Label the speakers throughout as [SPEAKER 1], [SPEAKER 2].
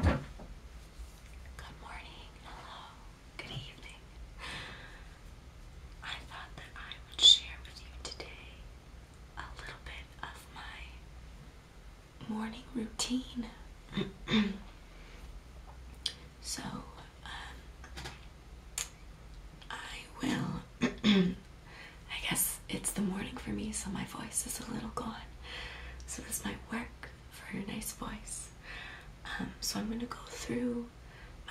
[SPEAKER 1] Good morning, hello, good evening. I thought that I would share with you today a little bit of my morning routine. so, um, I will I guess it's the morning for me, so my voice is a little gone. So this might work for your nice voice. Um, so I'm going to go through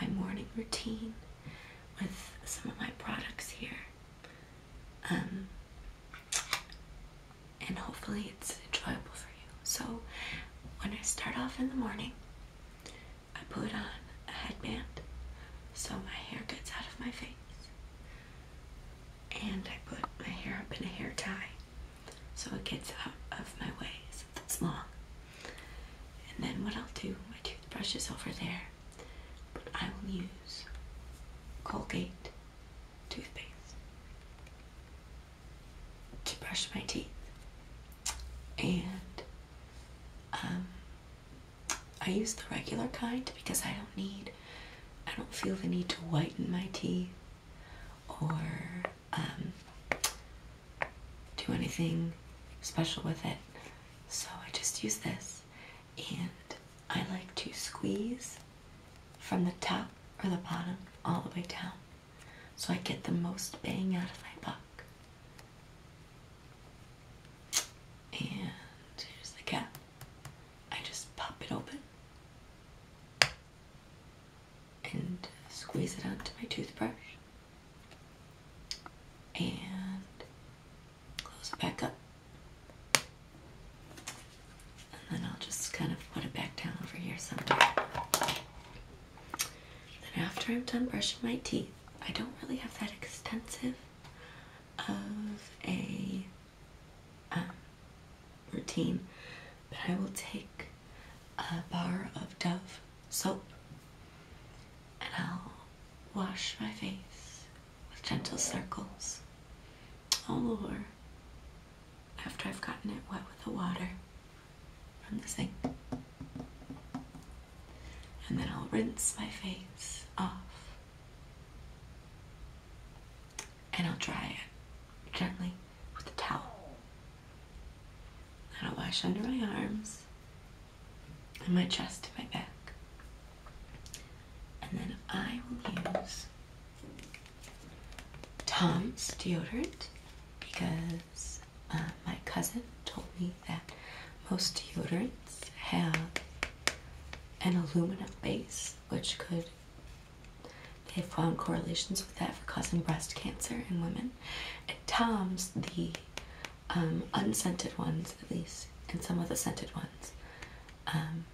[SPEAKER 1] my morning routine with some of my products here. Um, and hopefully it's enjoyable for you. So when I start off in the morning, I put on a headband so my hair gets out of my face. And I put my hair up in a hair tie so it gets out of my way. ways. That's long. And then what I'll do, my toothbrush is over there, but I will use Colgate toothpaste to brush my teeth. And um, I use the regular kind because I don't need, I don't feel the need to whiten my teeth or um, do anything special with it. So I just use this and I like to squeeze from the top or the bottom all the way down so I get the most bang out of my buck. And here's the cap. I just pop it open and squeeze it onto my toothbrush and close it back up. And then I'll just kind of put it back down over here sometime. Then after I'm done brushing my teeth, I don't really have that extensive of a uh, routine, but I will take a bar of Dove soap and I'll wash my face with gentle circles all over after I've gotten it wet with the water from the sink and then I'll rinse my face off and I'll dry it gently with a towel. And I'll wash under my arms and my chest and my back. And then I will use Tom's deodorant because uh, my cousin told me that most deodorant have an aluminum base, which could they found correlations with that for causing breast cancer in women. At Tom's, the um, unscented ones, at least, and some of the scented ones, um,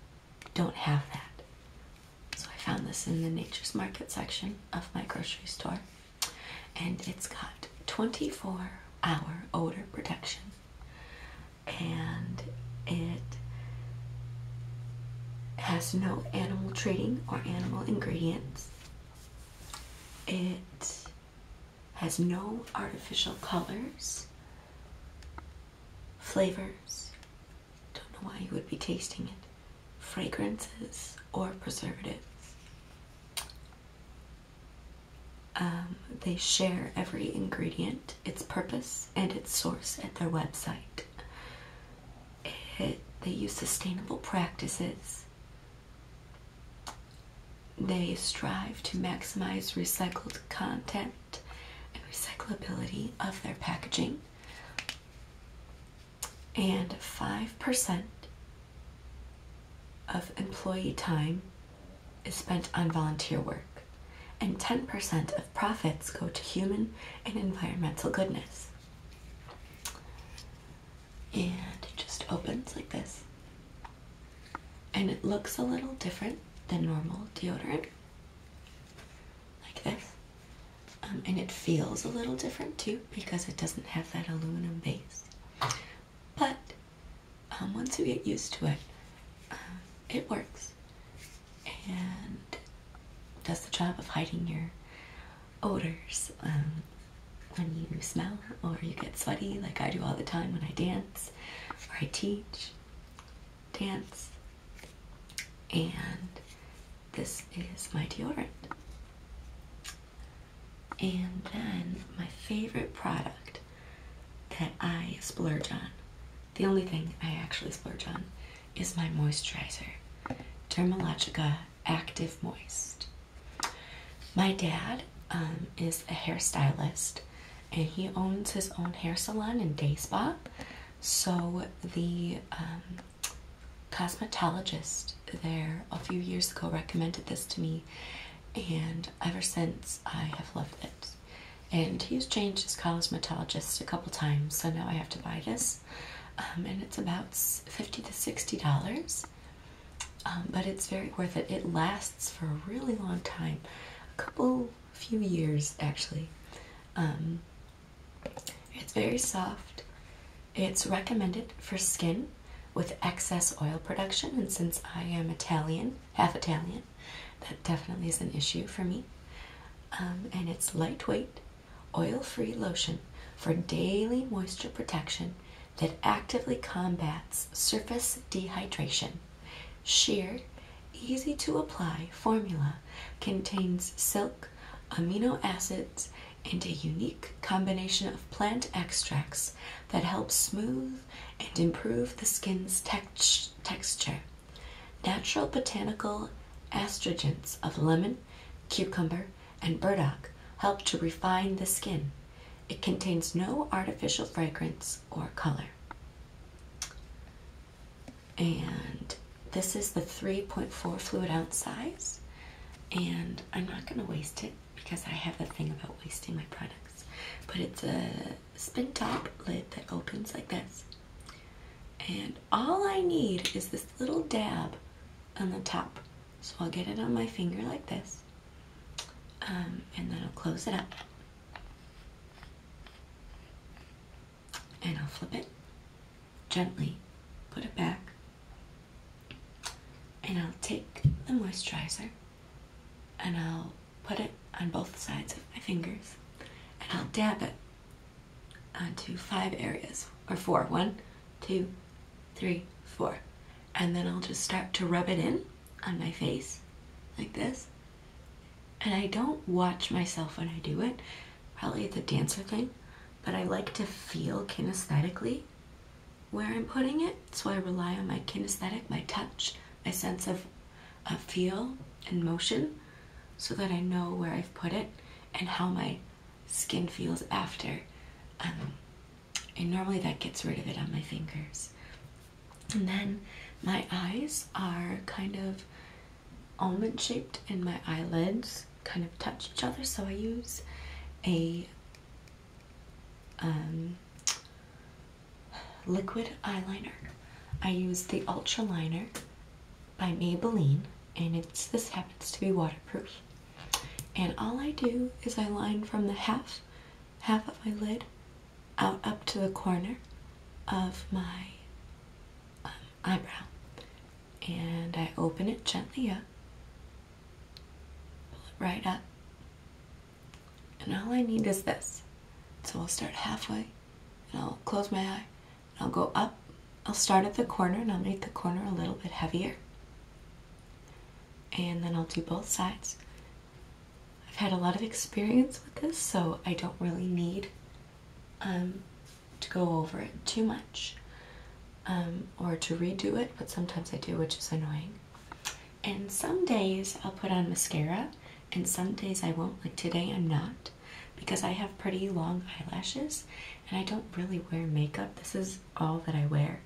[SPEAKER 1] don't have that. So I found this in the Nature's Market section of my grocery store, and it's got 24 hour odor protection and it has no animal treating or animal ingredients. It has no artificial colors, flavors, don't know why you would be tasting it, fragrances, or preservatives. Um, they share every ingredient, its purpose, and its source at their website. they use sustainable practices. They strive to maximize recycled content and recyclability of their packaging. And 5% of employee time is spent on volunteer work, and 10% of profits go to human and environmental goodness. And it just opens like this. And it looks a little different than normal deodorant, like this. Um, and it feels a little different too because it doesn't have that aluminum base. But um, once you get used to it, uh, it works and does the job of hiding your odors um, when you smell or you get sweaty, like I do all the time when I dance or I teach dance. And this is my deodorant. And then my favorite product that I splurge on, the only thing I actually splurge on, is my moisturizer, Dermalogica Active Moist. My dad um, is a hairstylist and he owns his own hair salon and day spa. So the um, cosmetologist there a few years ago recommended this to me and ever since I have loved it. And he's changed his cosmetologist a couple times, so now I have to buy this, um, and it's about fifty to sixty dollars. Um, but it's very worth it. It lasts for a really long time, a couple few years actually. Um, it's very soft. It's recommended for skin with excess oil production, and since I am Italian, half Italian, that definitely is an issue for me. Um, and it's lightweight, oil free lotion for daily moisture protection that actively combats surface dehydration. Sheer, easy to apply formula contains silk, amino acids, and a unique combination of plant extracts that help smooth and improve the skin's texture. Natural botanical estrogens of lemon, cucumber, and burdock help to refine the skin. It contains no artificial fragrance or color. And this is the 3.4 fluid ounce size. And I'm not going to waste it because I have that thing about wasting my products. But it's a spin top lid that opens like this. And all I need is this little dab on the top. So I'll get it on my finger like this. Um, and then I'll close it up. And I'll flip it gently, put it back, and I'll take the moisturizer and I'll put it on both sides of my fingers and I'll dab it onto five areas or four. One, two, three, four. And then I'll just start to rub it in on my face like this. And I don't watch myself when I do it. Probably it's a dancer thing, but I like to feel kinesthetically where I'm putting it, so I rely on my kinesthetic, my touch, my sense of, of feel and motion, so that I know where I've put it and how my skin feels after. Um, and normally that gets rid of it on my fingers. And then my eyes are kind of almond shaped and my eyelids kind of touch each other, so I use a um, liquid eyeliner. I use the Ultra Liner by Maybelline, and it's this happens to be waterproof. And all I do is I line from the half, half of my lid, out up to the corner of my um, eyebrow, and I open it gently up right up. And all I need is this. So I'll start halfway and I'll close my eye I'll go up. I'll start at the corner and I'll make the corner a little bit heavier. And then I'll do both sides. I've had a lot of experience with this, so I don't really need um, to go over it too much. Um, or to redo it, but sometimes I do, which is annoying. And some days I'll put on mascara, and some days I won't. Like today, I'm not because I have pretty long eyelashes and I don't really wear makeup. This is all that I wear.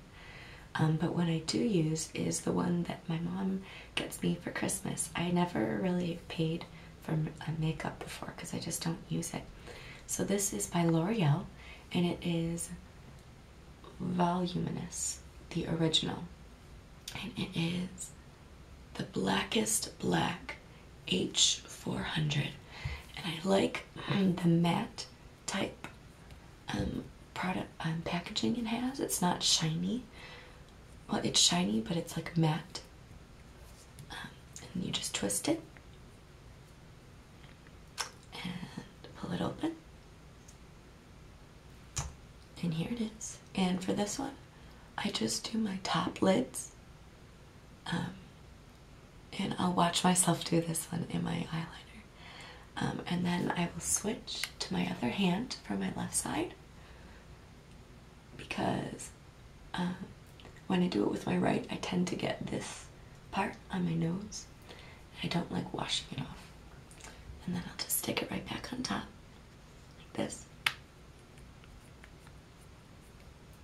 [SPEAKER 1] Um, but what I do use is the one that my mom gets me for Christmas. I never really paid for makeup before because I just don't use it. So this is by L'Oreal and it is voluminous, the original. And it is the blackest black H400. And I like the matte type um, product um, packaging it has. It's not shiny. Well, it's shiny, but it's like matte. Um, and you just twist it and pull it open. And here it is. And for this one, I just do my top lids. Um, and I'll watch myself do this one in my eyeliner. Um, and then I will switch to my other hand for my left side because um, when I do it with my right, I tend to get this part on my nose. I don't like washing it off. And then I'll just stick it right back on top, like this.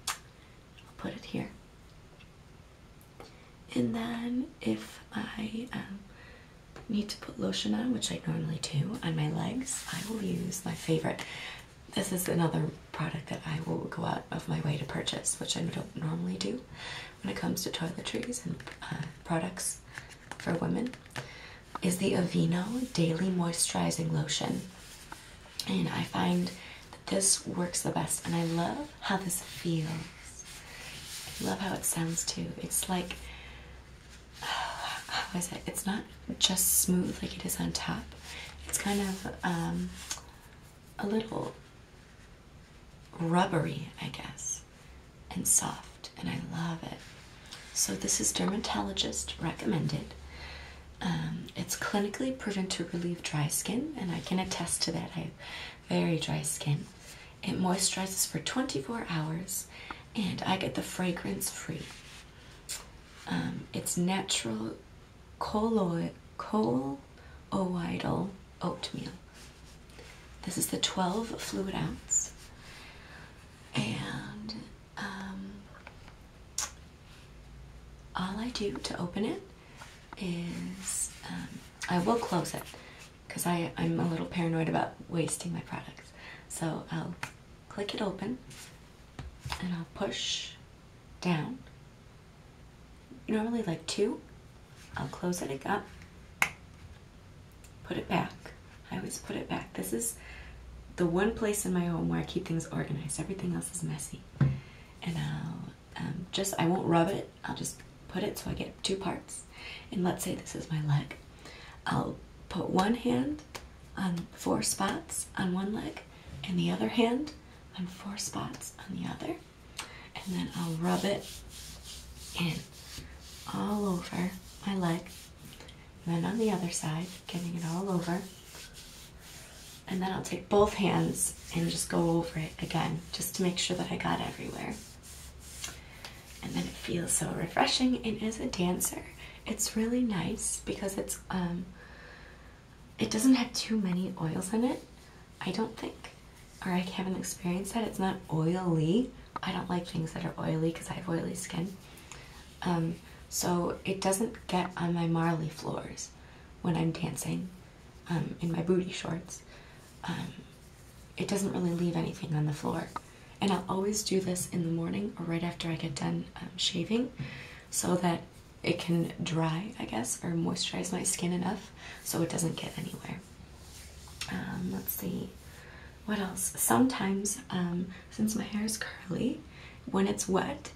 [SPEAKER 1] I'll put it here. And then if I um, need to put lotion on, which I normally do, on my legs, I will use my favorite. This is another product that I will go out of my way to purchase, which I don't normally do when it comes to toiletries and uh, products for women, is the Aveeno Daily Moisturizing Lotion. And I find that this works the best, and I love how this feels. I love how it sounds too. It's like, how is it? It's not just smooth like it is on top. It's kind of um, a little rubbery, I guess, and soft, and I love it. So, this is dermatologist recommended. Um, it's clinically proven to relieve dry skin, and I can attest to that. I have very dry skin. It moisturizes for 24 hours, and I get the fragrance free. Um, it's natural colloidal oatmeal. This is the 12 fluid ounce. And um, all I do to open it is um, I will close it because I'm a little paranoid about wasting my products. So I'll click it open and I'll push down normally like two. I'll close it up, put it back. I always put it back. This is the one place in my home where I keep things organized. Everything else is messy. And I'll um, just, I won't rub it. I'll just put it so I get two parts. And let's say this is my leg. I'll put one hand on four spots on one leg and the other hand on four spots on the other, and then I'll rub it in all over my leg, and then on the other side, getting it all over. And then I'll take both hands and just go over it again, just to make sure that I got everywhere. And then it feels so refreshing. And as a dancer, it's really nice because it's um, it doesn't have too many oils in it, I don't think. Or I haven't experienced that. It's not oily. I don't like things that are oily because I have oily skin. Um, so it doesn't get on my marley floors when I'm dancing um, in my booty shorts. Um, it doesn't really leave anything on the floor. And I'll always do this in the morning or right after I get done shaving so that it can dry, I guess, or moisturize my skin enough so it doesn't get anywhere. Um, let's see, what else? Sometimes, um, since my hair is curly, when it's wet,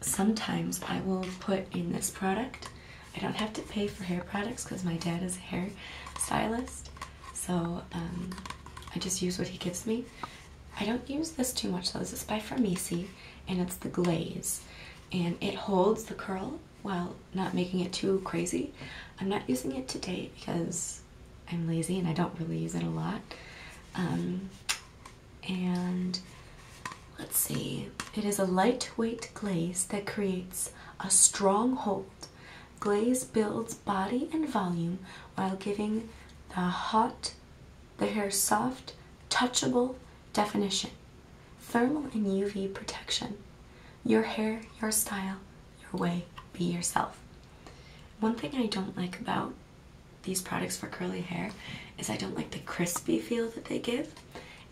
[SPEAKER 1] sometimes I will put in this product. I don't have to pay for hair products because my dad is a hair stylist, so um, I just use what he gives me. I don't use this too much though. This is by Farmisi and it's the glaze. And it holds the curl while not making it too crazy. I'm not using it today because I'm lazy and I don't really use it a lot. Um, and let's see, it is a lightweight glaze that creates a strong hold. Glaze builds body and volume while giving the hot the hair soft, touchable definition, thermal and UV protection. Your hair, your style, your way, be yourself. One thing I don't like about these products for curly hair is I don't like the crispy feel that they give,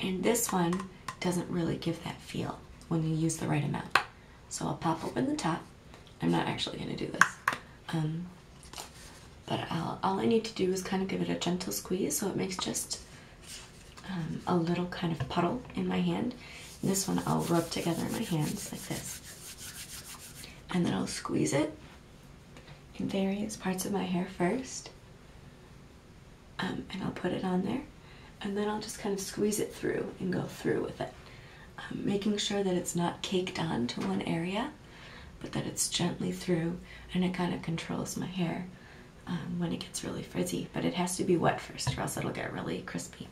[SPEAKER 1] and this one doesn't really give that feel when you use the right amount. So I'll pop open the top. I'm not actually going to do this. Um, but all I need to do is kind of give it a gentle squeeze so it makes just um, a little kind of puddle in my hand. this one I'll rub together in my hands like this. And then I'll squeeze it in various parts of my hair first. Um, and I'll put it on there. And then I'll just kind of squeeze it through and go through with it. Um, making sure that it's not caked on to one area but that it's gently through and it kind of controls my hair um, when it gets really frizzy. But it has to be wet first or else it'll get really crispy.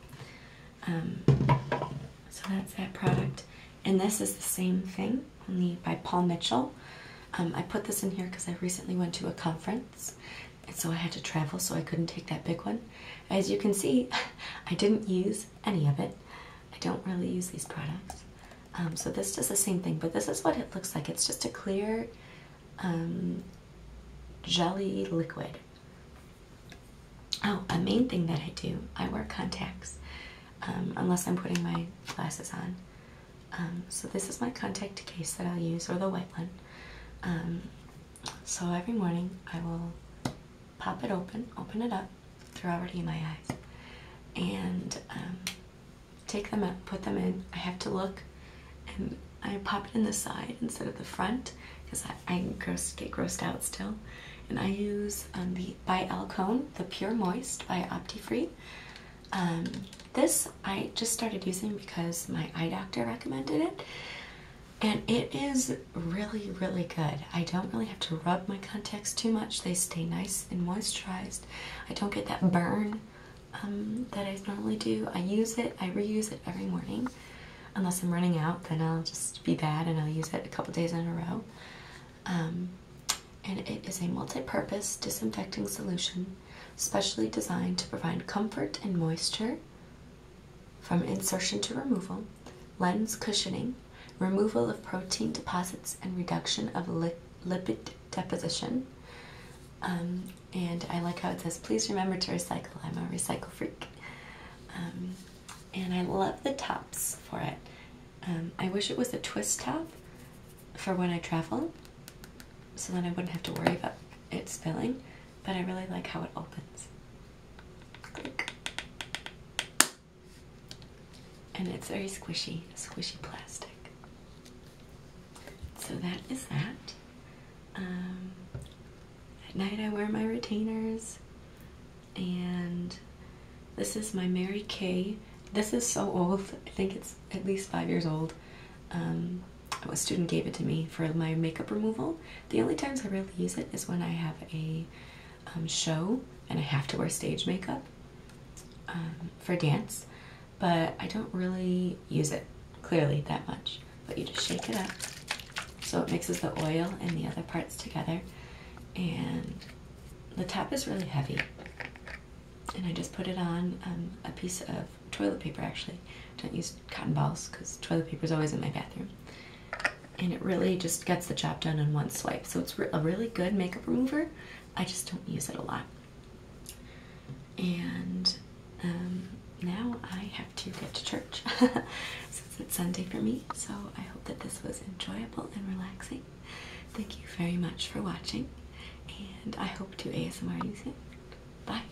[SPEAKER 1] Um, so that's that product. And this is the same thing, only by Paul Mitchell. Um, I put this in here because I recently went to a conference and so I had to travel so I couldn't take that big one. As you can see, I didn't use any of it. I don't really use these products. Um, so this does the same thing, but this is what it looks like. It's just a clear um, jelly liquid. Oh, a main thing that I do, I wear contacts, um, unless I'm putting my glasses on. so this is my contact case that i use, or the white one. so every morning I will pop it open, open it up, they're already in my eyes, and um, take them out, put them in. I have to look, and I pop it in the side instead of the front because I, get grossed out still. And I use um, the by Alcone, the Pure Moist by Optifree. Um, this I just started using because my eye doctor recommended it. And it is really, really good. I don't really have to rub my contacts too much. They stay nice and moisturized. I don't get that burn um, that I normally do. I use it, I reuse it every morning. Unless I'm running out, then I'll just be bad and I'll use it a couple days in a row. Um, and it is a multi-purpose disinfecting solution specially designed to provide comfort and moisture from insertion to removal, lens cushioning, removal of protein deposits, and reduction of lipid deposition. Um, and I like how it says, please remember to recycle. I'm a recycle freak. Um, and I love the tops for it. Um, I wish it was a twist top for when I travel, so then I wouldn't have to worry about it spilling, but I really like how it opens and it's very squishy, squishy plastic. So that is that. Um, at night I wear my retainers, and this is my Mary Kay. This is so old, I think it's at least five years old. Um, a student gave it to me for my makeup removal. The only times I really use it is when I have a um, show and I have to wear stage makeup um, for dance, but I don't really use it clearly that much. But you just shake it up so it mixes the oil and the other parts together. And the tap is really heavy. And I just put it on um, a piece of toilet paper actually. Don't use cotton balls because toilet paper is always in my bathroom and it really just gets the job done in one swipe. So it's a really good makeup remover. I just don't use it a lot. And um, now I have to get to church since it's Sunday for me. So I hope that this was enjoyable and relaxing. Thank you very much for watching, and I hope to ASMR you soon. Bye.